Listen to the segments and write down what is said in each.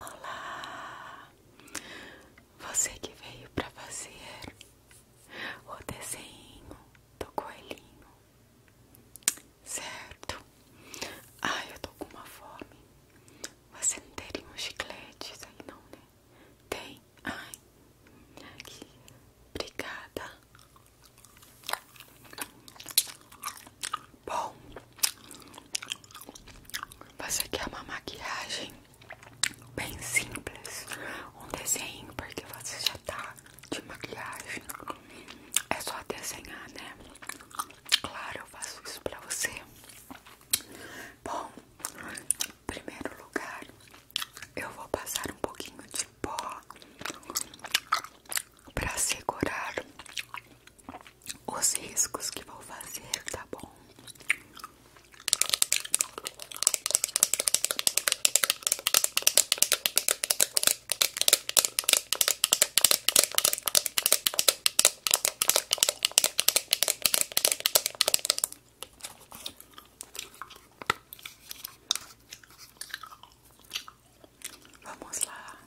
Olá! Você que veio para fazer o desenho do coelhinho, certo? Ai, ah, eu tô com uma fome. Você não teria um chiclete aí, não, né? Tem? Ai, aqui. Obrigada. Bom, você quer uma maquiagem bem simples, um desenho, porque você já tá de maquiagem. É só desenhar, né? Claro, eu faço isso pra você. Bom, em primeiro lugar, eu vou passar um pouquinho de pó pra segurar os riscos que vou fazer, tá bom? Vamos lá.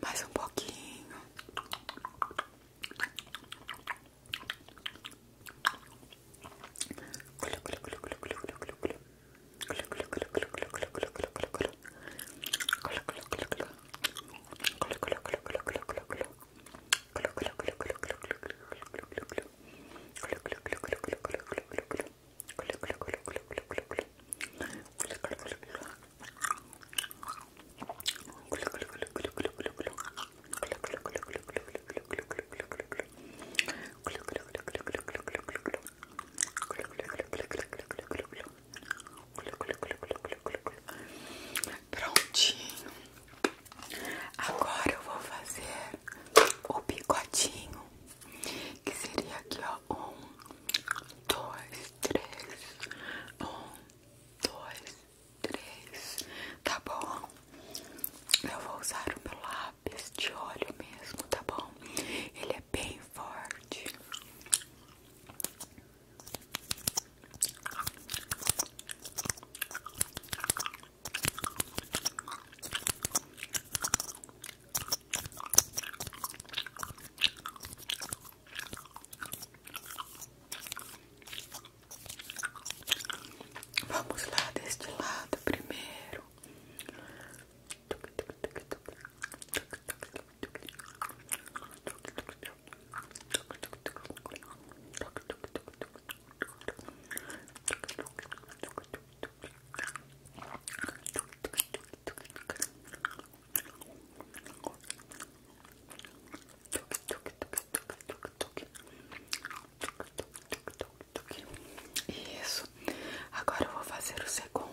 Mais um pouquinho. Prontinho. Agora eu vou fazer o picotinho, que seria aqui, ó. Um, dois, três. Um, dois, três. Tá bom? Eu vou usar o meu lápis de olho mesmo, tá bom? Ele é bem forte. Vamos lá deste lado primeiro. Isso. Agora vou fazer o segundo.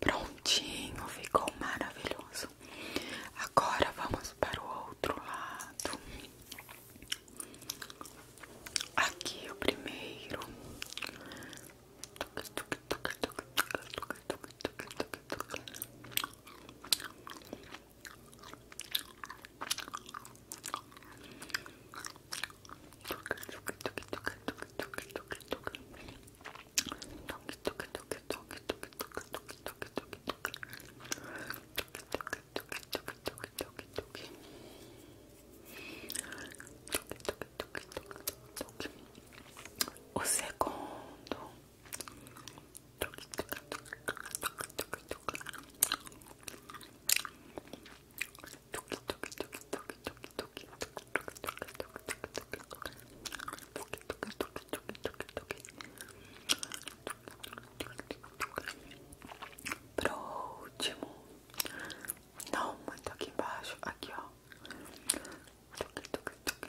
Prontinho, ficou maravilhoso. Agora vamos para o outro lado. Aqui o primeiro. O segundo Pro último, não muito tá aqui embaixo, aqui ó. Tuc, tuc, tuc,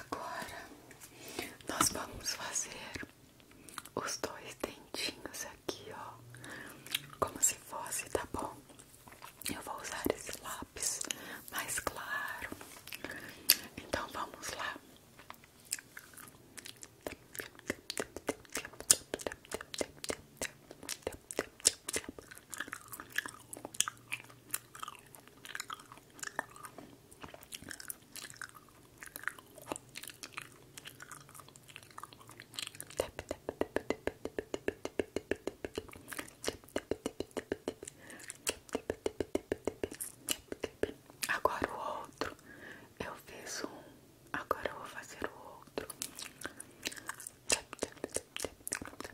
Agora nós vamos fazer os dois dentinhos aqui, ó, como se fosse, tá bom? Eu vou usar esse lápis mais claro. Então vamos lá. Agora o outro, eu fiz um, agora eu vou fazer o outro.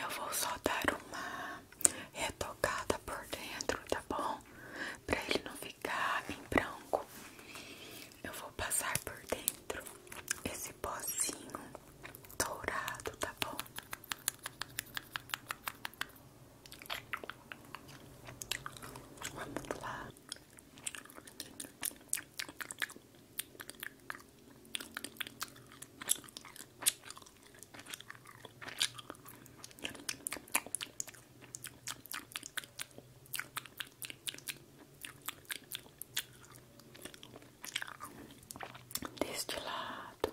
eu vou só dar uma retocada por dentro, tá bom? Pra ele não ficar em branco. Eu vou passar por dentro esse pozinho dourado, tá bom? Vamos lá. Deste lado,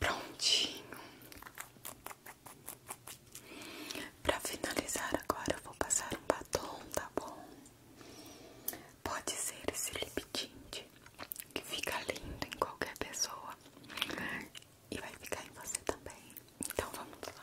Prontinho. Para finalizar agora eu vou passar um batom, tá bom? Pode ser esse lip tint que fica lindo em qualquer pessoa e vai ficar em você também. Então vamos lá.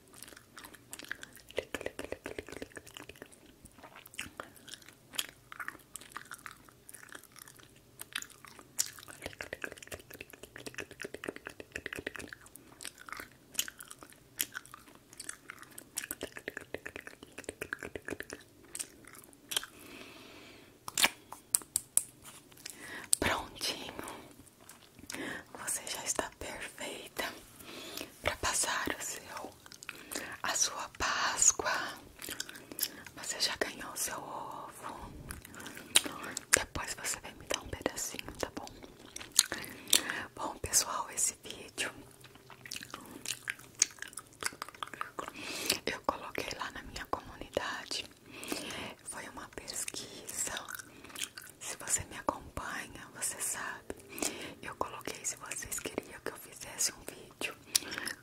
Prontinho, você já está perfeita para passar o seu, a sua Páscoa. Você já ganhou o seu ovo. Depois você vem me dar um pedacinho, tá bom? Bom, pessoal, esse vídeo eu coloquei lá na minha comunidade. Foi uma pesquisa se você me acompanha, você sabe. Eu coloquei se vocês queriam que eu fizesse um vídeo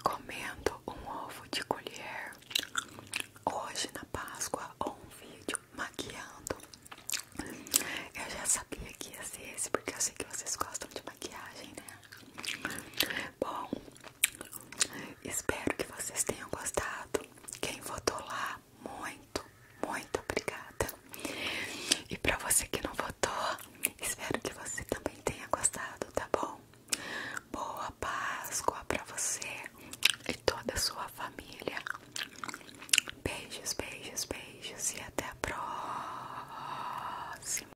comendo um ovo de colher hoje na Páscoa ou um vídeo maquiando. Eu já sabia que ia ser esse porque eu sei que vocês gostam de maquiagem, né? Bom, espero que vocês tenham gostado. Quem votou lá muito, muito obrigada. E pra você que não votou, espero que você também tenha gostado, tá bom? Boa Páscoa pra você e toda a sua família. Beijos, beijos, beijos e até a próxima.